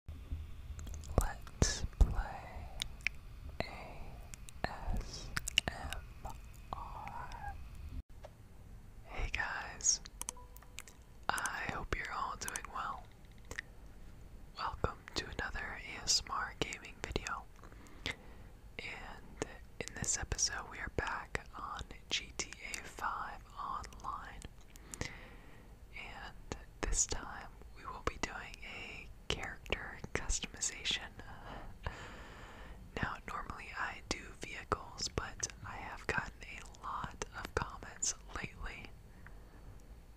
Hey guys, I hope you're all doing well. Welcome to another ASMR gaming video. And in this episode, we are back on GTA 5 Online and this time we will be doing a character customization. now, normally I do vehicles, but I have gotten a lot of comments lately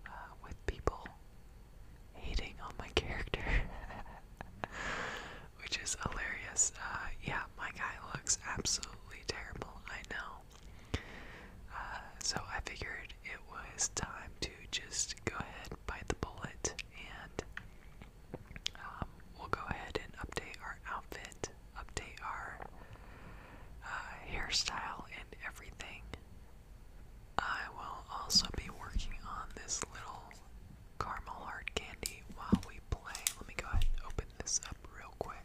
uh, with people hating on my character. Which is hilarious. Uh, yeah, my guy looks absolutely terrible. I know. Uh, so I figured it was time to just go ahead, bite the bullet, and um, we'll go ahead and update our outfit, update our uh, hairstyle, and everything. I will also be working on this little caramel hard candy while we play. Let me go ahead and open this up real quick.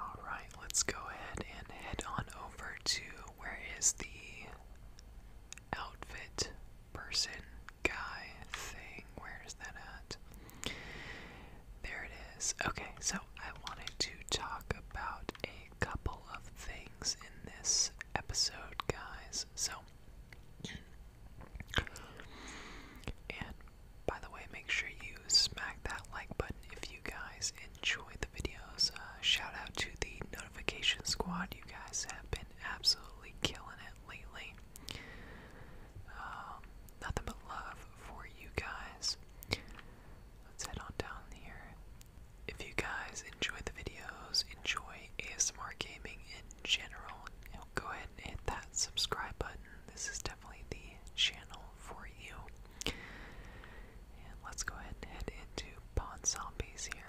All right, let's go ahead and head on over to where is the outfit person guy thing? Where is that at? There it is. Okay, so I wanted to talk about a couple of things in this episode, guys. So, and by the way, make sure you smack that like button if you guys enjoy the videos. Uh, shout out to the notification squad, you guys have been absolutely killing it lately. Um, nothing but love for you guys. Let's head on down here if you guys enjoy the videos, enjoy ASMR gaming in general, go ahead and hit that subscribe button. This is definitely the channel for you. And let's go ahead and head into Pawn Zombies here.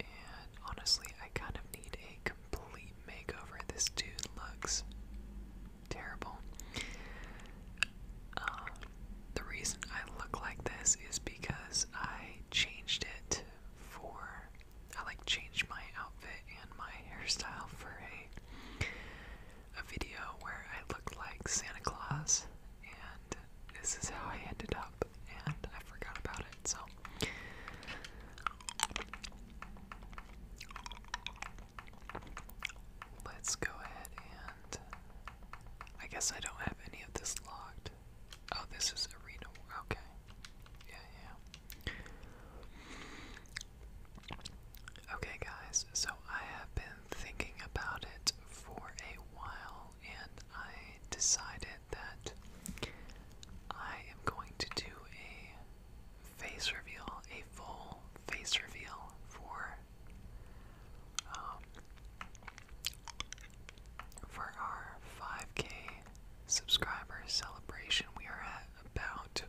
And honestly, I kind of need a complete makeover. This dude looks terrible. Uh, the reason I look like this is because I changed it for. I like changed my outfit and my hairstyle for a a video where I looked like Santa Claus, and this is how I ended up and I forgot about it, so let's go ahead and I guess I don't have any of this locked. Oh, this is arena. Okay. Yeah, yeah. Okay, guys, so I have been thinking about it for a while and I decided that I am going to do a face reveal, a full face reveal for um, for our 5K subscribers celebration. We are at about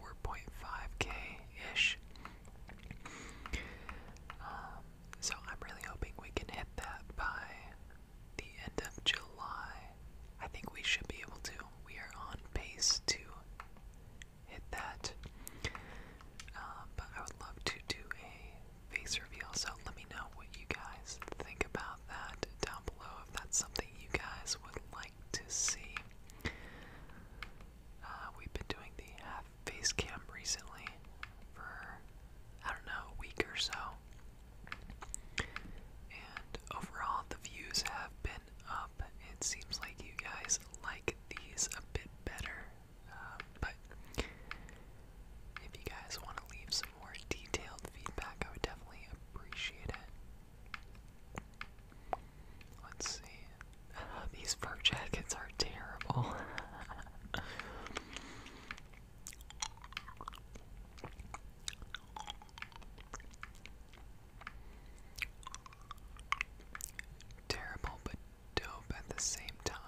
4.5K ish. Um, so I'm really hoping we can hit that by the end of July, I think we should be able to. We are on pace to hit that. Uh, but I would love to do a face reveal, so let me know what you guys think about that down below if that's something you guys would like to see. Uh, we've been doing the half face cam recently for, I don't know, a week or so. And overall, the views have been up. It seems like you guys like these a bit better. Um, but if you guys want to leave some more detailed feedback, I would definitely appreciate it. Let's see. these fur jackets are terrible. Terrible but dope at the same time.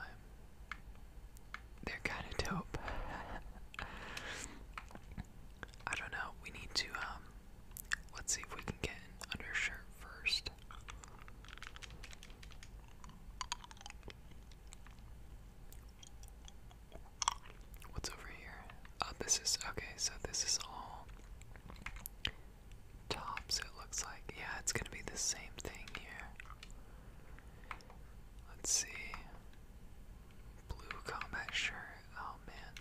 They're kind of dope. I don't know. We need to, um, let's see if we can get undershirt first. What's over here? Oh, this is okay, so this is all tops, it looks like. Yeah, it's gonna be the same thing here. Let's see. Blue combat shirt. Oh man.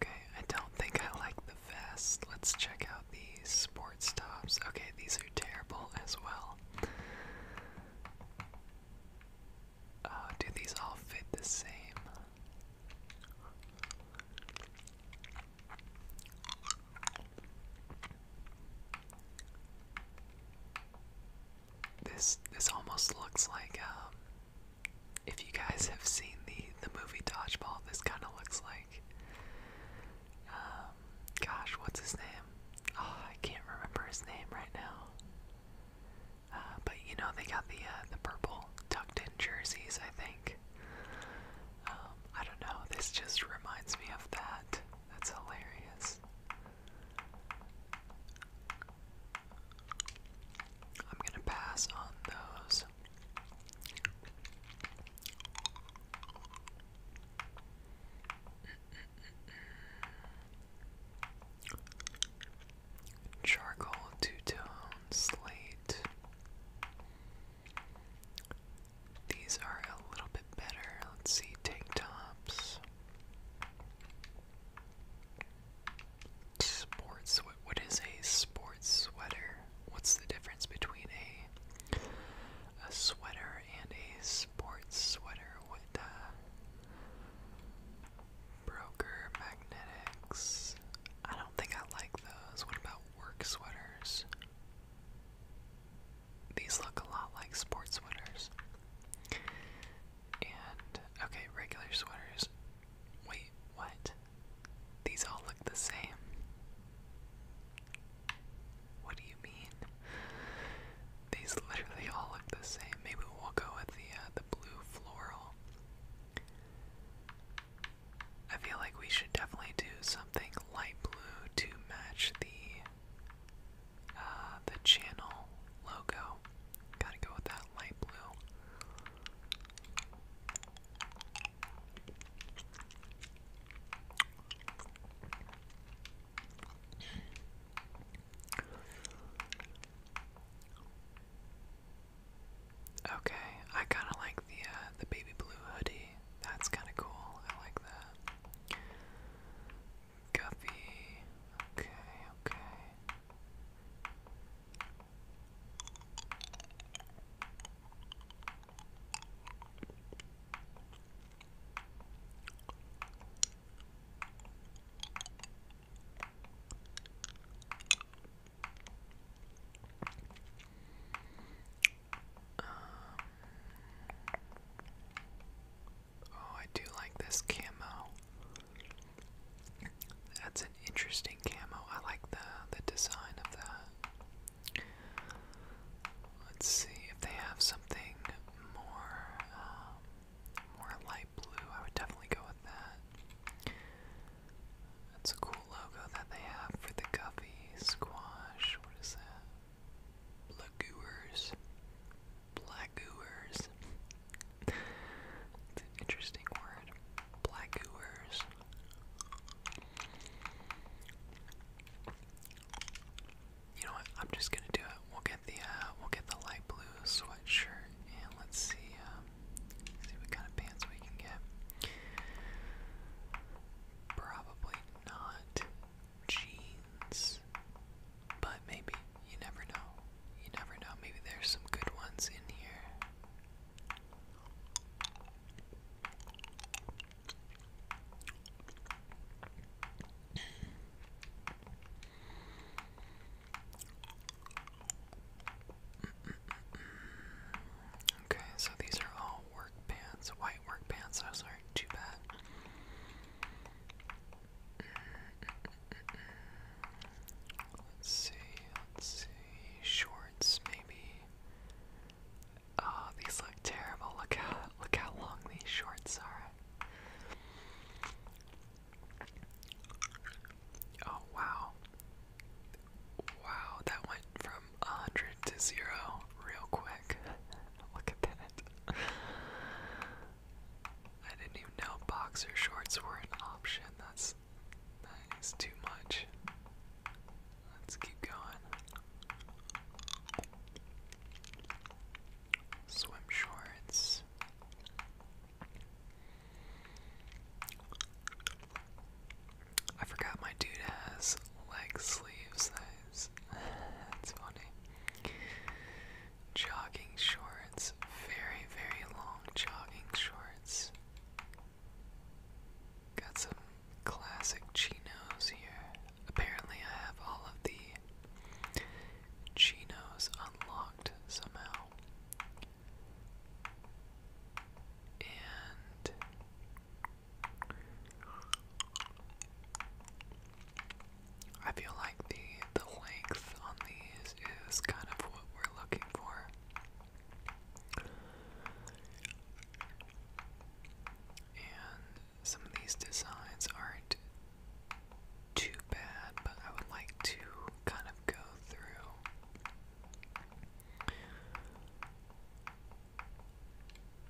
Okay, I don't think I like the vest. Let's check out these sports tops. Okay, these terrible as well. Uh, do these all fit the same? This this almost looks like um, if you guys have seen the the movie Dodgeball, this kind of looks like um, gosh, what's his name? Oh, I can't remember his name right now. Uh, but you know they got the uh, the purple tucked in jerseys, I think. Um, I don't know. This just reminds me of that. That's hilarious. I'm gonna pass on those. Charcoal, two-tone, slate. These are a little bit better. Let's see, tank tops. Sports, what, what is a sports sweater? what's the difference between a a sweater and a sports sweater? with uh, broker magnetics? I don't think I like those. What about work sweaters? These look a lot like sports sweaters. And okay, regular sweaters. Wait, what? These all look the same. What do you mean? These literally all look the same. Maybe we'll go with the uh, the blue floral. I feel like we should definitely do something light blue to match the uh, the channel logo. Gotta go with that light blue. Okay, I kind of like the uh, the baby blue hoodie. That's kind of cool. I like that. Guffy. Okay, okay. Um, oh, I do like this camo. That's an interesting camo. I like the the design of that. Let's see if they have something more, um, more light blue. I would definitely go with that. That's a cool logo that they have for the Guppy Squash. What is that? Lagoers. Blackgoers. it's an interesting word. Blackgoers. You know what? I'm just gonna do it. We'll get the uh, we'll get the light blue sweatshirt, and let's see um, see what kind of pants we can get. Probably not jeans, but maybe you never know. You never know. Maybe there's some good ones in here. Okay, so these are all work pants, white work pants. Those aren't too bad. Let's see, let's see, shorts maybe. Oh, these look terrible. Look how look how long these shorts are. Oh wow. Wow, that went from 100 to 0 real quick. Look at that. I didn't even know boxer shorts were an option. That's that is too much. Let's keep going. Swim shorts. I forgot my dude has leg sleeves. That's, that's funny. Jogging shorts. Very, very long jogging shorts. Got some classic chinos here. Apparently, I have all of the chinos unlocked somehow. And I feel like the the length on these is kind of what we're looking for. And some of these designs aren't too bad, but I would like to kind of go through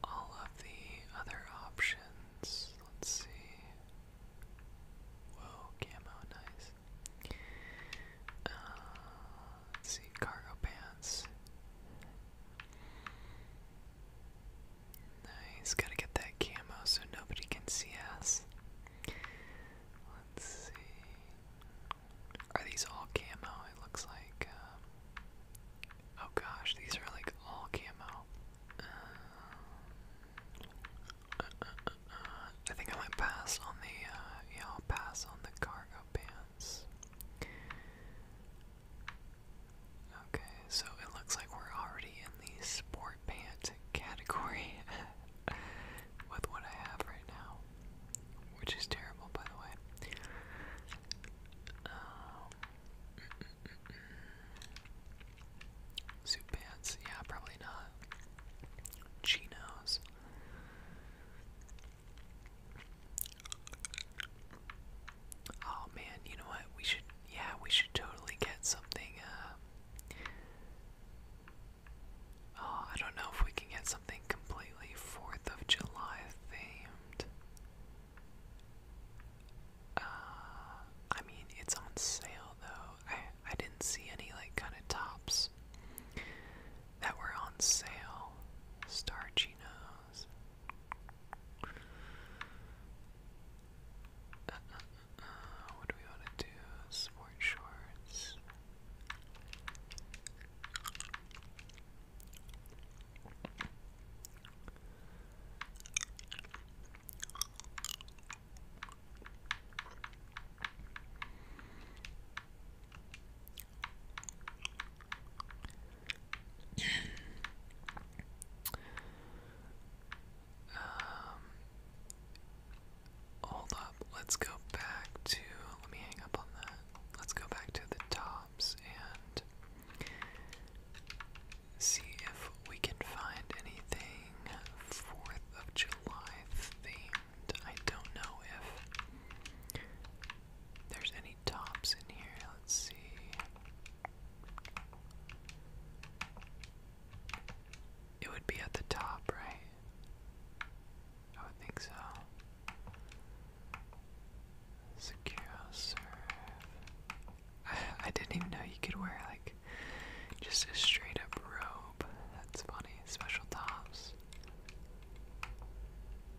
all of the other options. Let's see. Whoa, camo, nice. Uh, let's see, cargo pants. He's gotta get that camo so nobody can see us. Let's see. Are these all camo? It looks like. Uh, oh gosh, these are like all camo. Um, uh, uh, I think I might pass on the. yeah, I'll pass on the cargo pants. Okay, so it looks like we're already in the sport pants category with what I have right now, which is terrible, by the way. Um, suit pants, yeah, probably not. Chinos. Oh man, you know what? We should yeah, we should totally get something uh Oh, I don't know if we can get something completely 4th of July themed. Uh, I mean, it's on sale though. I I didn't see any like kind of tops that were on sale. Star Chino nose. Uh, uh, uh, uh, what do we want to do? Sport shorts. Um, hold up. Let's go back to. Let me hang up on that. Let's go back to the tops and see if we can find anything 4th of July themed. I don't know if there's any any tops in here? Let's see. It would be at the top, right? I would think so. Secure serve. I didn't even know you could wear like just a straight up robe. That's funny. Special tops.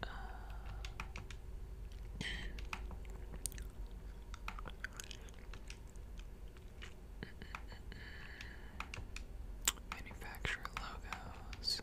Uh, manufacturer logos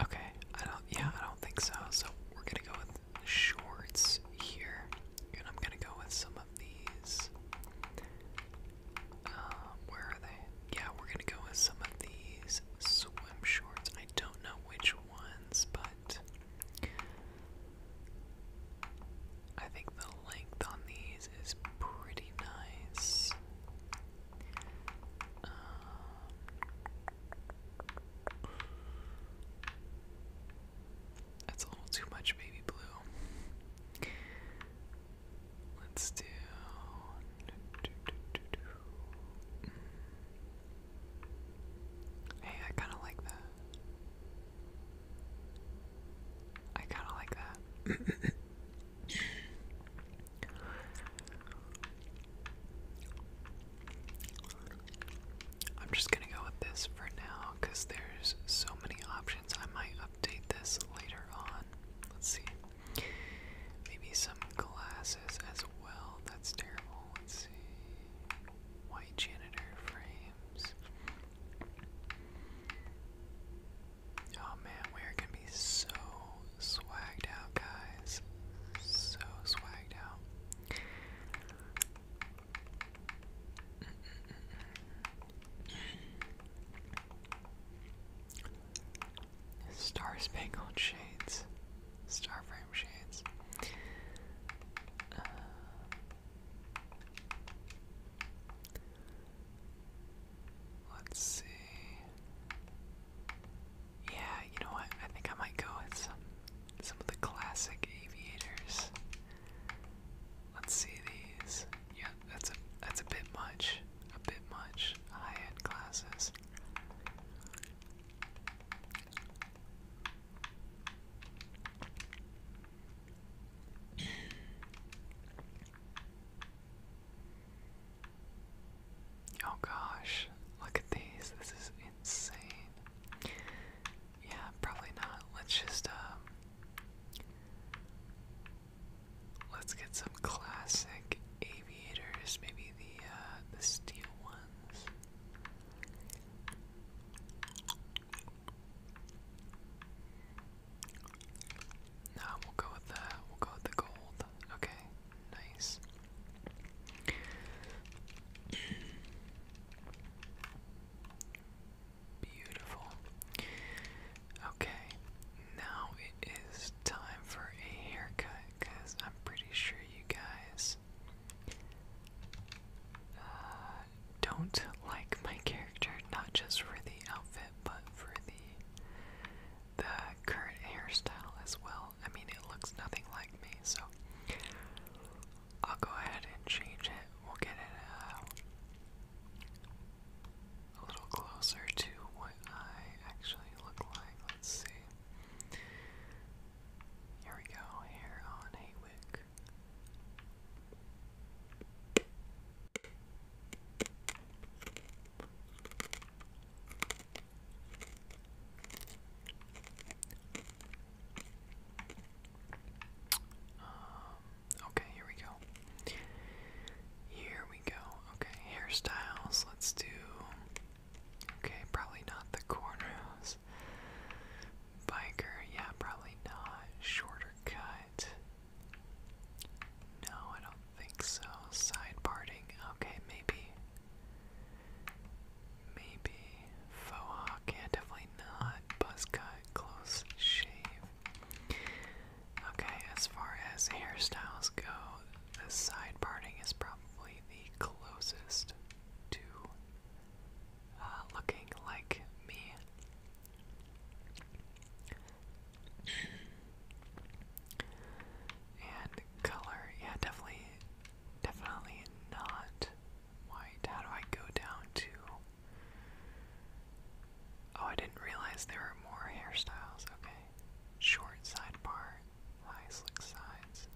okay, I don't yeah, I don't think so. So we're gonna go with shorts here, and I'm gonna go with some of these. Um, where are they? Yeah, we're gonna go with some of these swim shorts. I don't know which ones, but I think the length on these is pretty nice. Um, a little too much baby blue. Let's do. Mm. Hey, I kind of like that. I kind of like that. I'm just gonna go with this for now because there's so many options. I might update this later on. Let's see. Maybe some glasses as well. That's terrible. Let's White janitor frames. Oh man, we are gonna be so swagged out, guys. So swagged out. Star Spangled Shades. Starframe Shades. Uh, Let's see. Yeah, you know what? I think I might go with some some of the classic aviators. Let's see these. Yeah, that's a that's a bit much. A bit much. High-end classes oh gosh, look at these. This is insane. Yeah, probably not. Let's just, um, let's get some classic aviators, maybe the, uh, the steel ones. Now we'll go with the we'll go with the gold. Okay, nice. Beautiful. Okay, now it is time for a haircut because I'm pretty sure you guys. Uh, don't like my character, not just for the outfit, but for the the current hairstyle as well. I mean, it looks nothing like me, so I'll go ahead and change it. We'll get it uh, a little closer to what I actually look like. Let's see. Here we go. Hair on Haywick. Um, okay, here we go. Here we go. Okay, hairstyles. Let's do. Okay, probably not the corners. Biker, yeah, probably not. Shorter cut. No, I don't think so. Side parting, okay, maybe. Maybe. Faux hawk, definitely not. Buzz cut, close shave. Okay, as far as hairstyles go, the side parting is probably the closest to uh, looking like me. and color, yeah, definitely, definitely not white. How do I go down to? Oh, I didn't realize there were more hairstyles. Okay, short sidebar, high slick sides.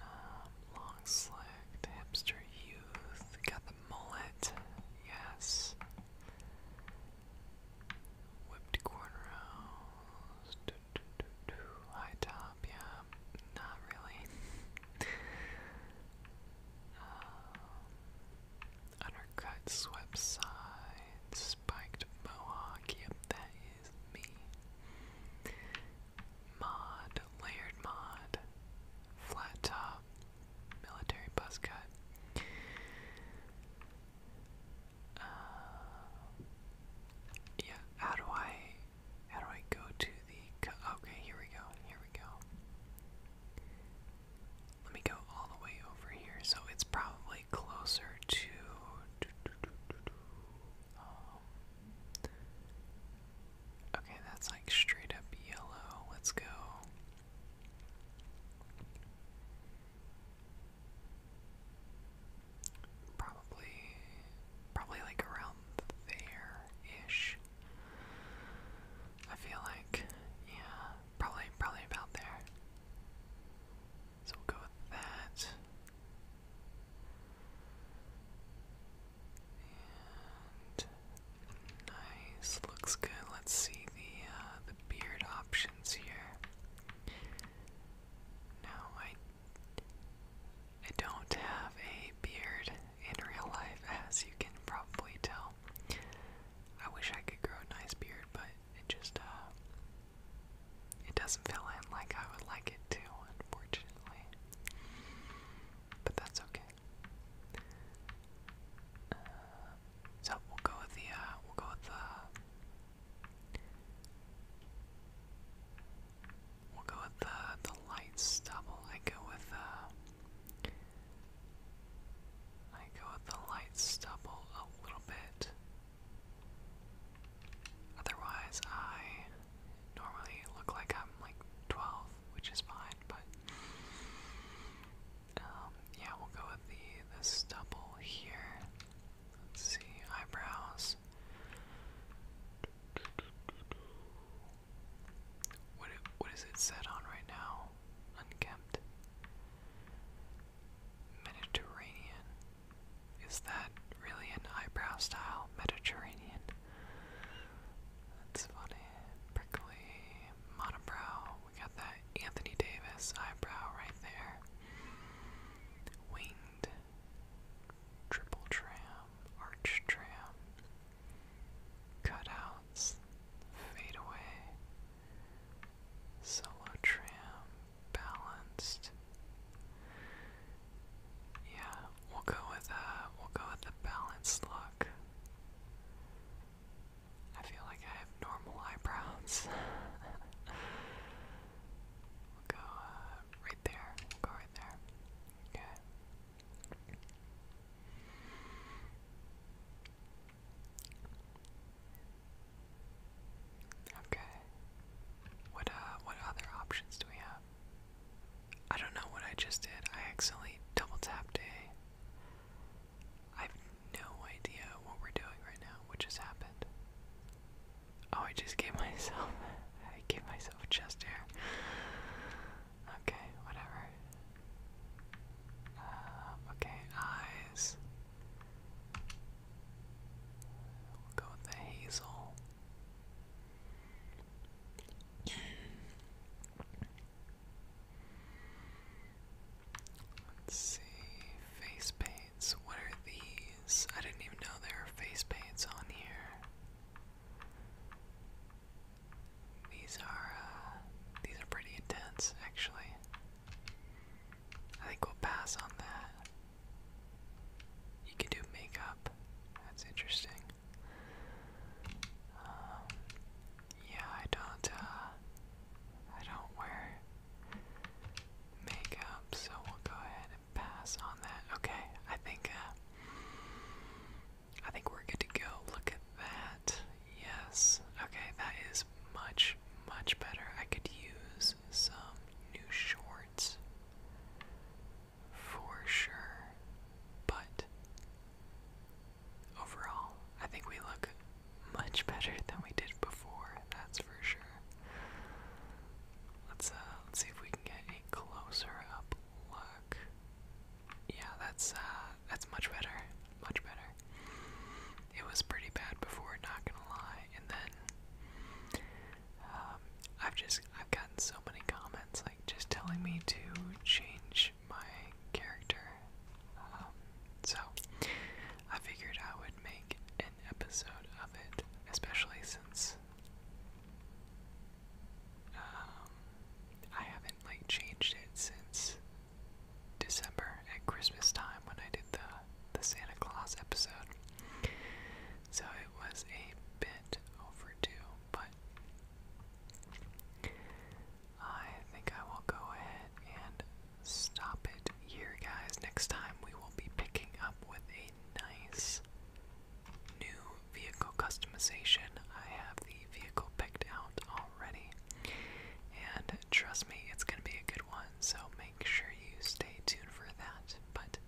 Um, long slicked, hipster youth. Got the mullet, yes. Whipped cornrows. High top, yeah. Not really. Um, undercut, swept side, spiked mohawk. Yep, that is me mod, layered mod, flat top, military buzz cut. Uh, yeah, how do I, how do I go to the, okay, here we go, here we go. Let me go all the way over here, so it's probably closer to, oh, Okay, that's like straight up yellow. Let's go. Probably, probably like around there-ish. I feel like, yeah, probably, probably about there. So we'll go with that. And nice, looks good. Let's see the uh, the beard options here. Now I I don't have a beard in real life, as you can probably tell. I wish I could grow a nice beard, but it just uh it doesn't fill in like I would like it to, unfortunately. But that's okay. Uh, so we'll go with the uh, we'll go with the we'll go with the the light stubble. I go with uh I go with the light stubble a little bit. Otherwise, I normally look like I'm like 12, which is fine, but um, yeah, we'll go with the, the stubble here. Let's see, eyebrows. What what is it set on right now? Unkempt. Mediterranean. Is that really an eyebrow style Mediterranean. That's funny. Prickly monobrow. We got that Anthony Davis eyebrow right there. Winged triple tram, arch tram, cutouts, fade away, solo tram, balanced, yeah, we'll go with uh we'll go with the balanced look. I feel like I have normal eyebrows. we'll go uh, right there. go right there. Okay. Okay. What uh what other options do we have? I don't know what I just did. I accidentally double tapped a. I have no idea what we're doing right now. What just happened? Oh, I just gave myself. I gave myself chest hair. Okay, whatever. Uh, okay, eyes. go with the hazel see. Face paints. What are these? I didn't even know there were face paints on here. These are uh, these are pretty intense, actually. I think we'll pass on that. You can do makeup. That's interesting. Um, yeah, I don't. Uh, I don't wear makeup, so we'll go ahead and pass on that. Okay, I think. Uh, I think we're good to go. Look at that. Yes. Okay, that is much, much better. I could use some new shorts for sure. But overall, I think we look much better than we did before, that's for sure. Let's uh, let's see if we can get a closer up look. Yeah, that's uh, that's much better. Much better. It was pretty bad before, not gonna lie. And then um, I've just I've gotten so many comments like just telling me to change my character. Um, so I figured I would make an episode of it, especially since um, I haven't like changed it since December at Christmas time when I did the the Santa Claus episode so it was a bit overdue, but I think I will go ahead and stop it here, guys. Next time we will be picking up with a nice new vehicle customization. I have the vehicle picked out already, and trust me, it's going to be a good one, so make sure you stay tuned for that. But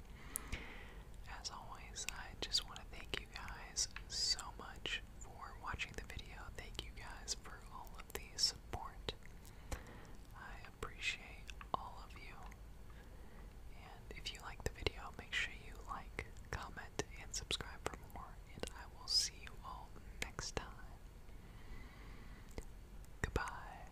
as always, I just want to thank you guys so much for watching the video. Thank you guys for all of the support. I appreciate all of you. And if you like the video, make sure you like, comment, and subscribe for more. And I will see you all next time. Goodbye.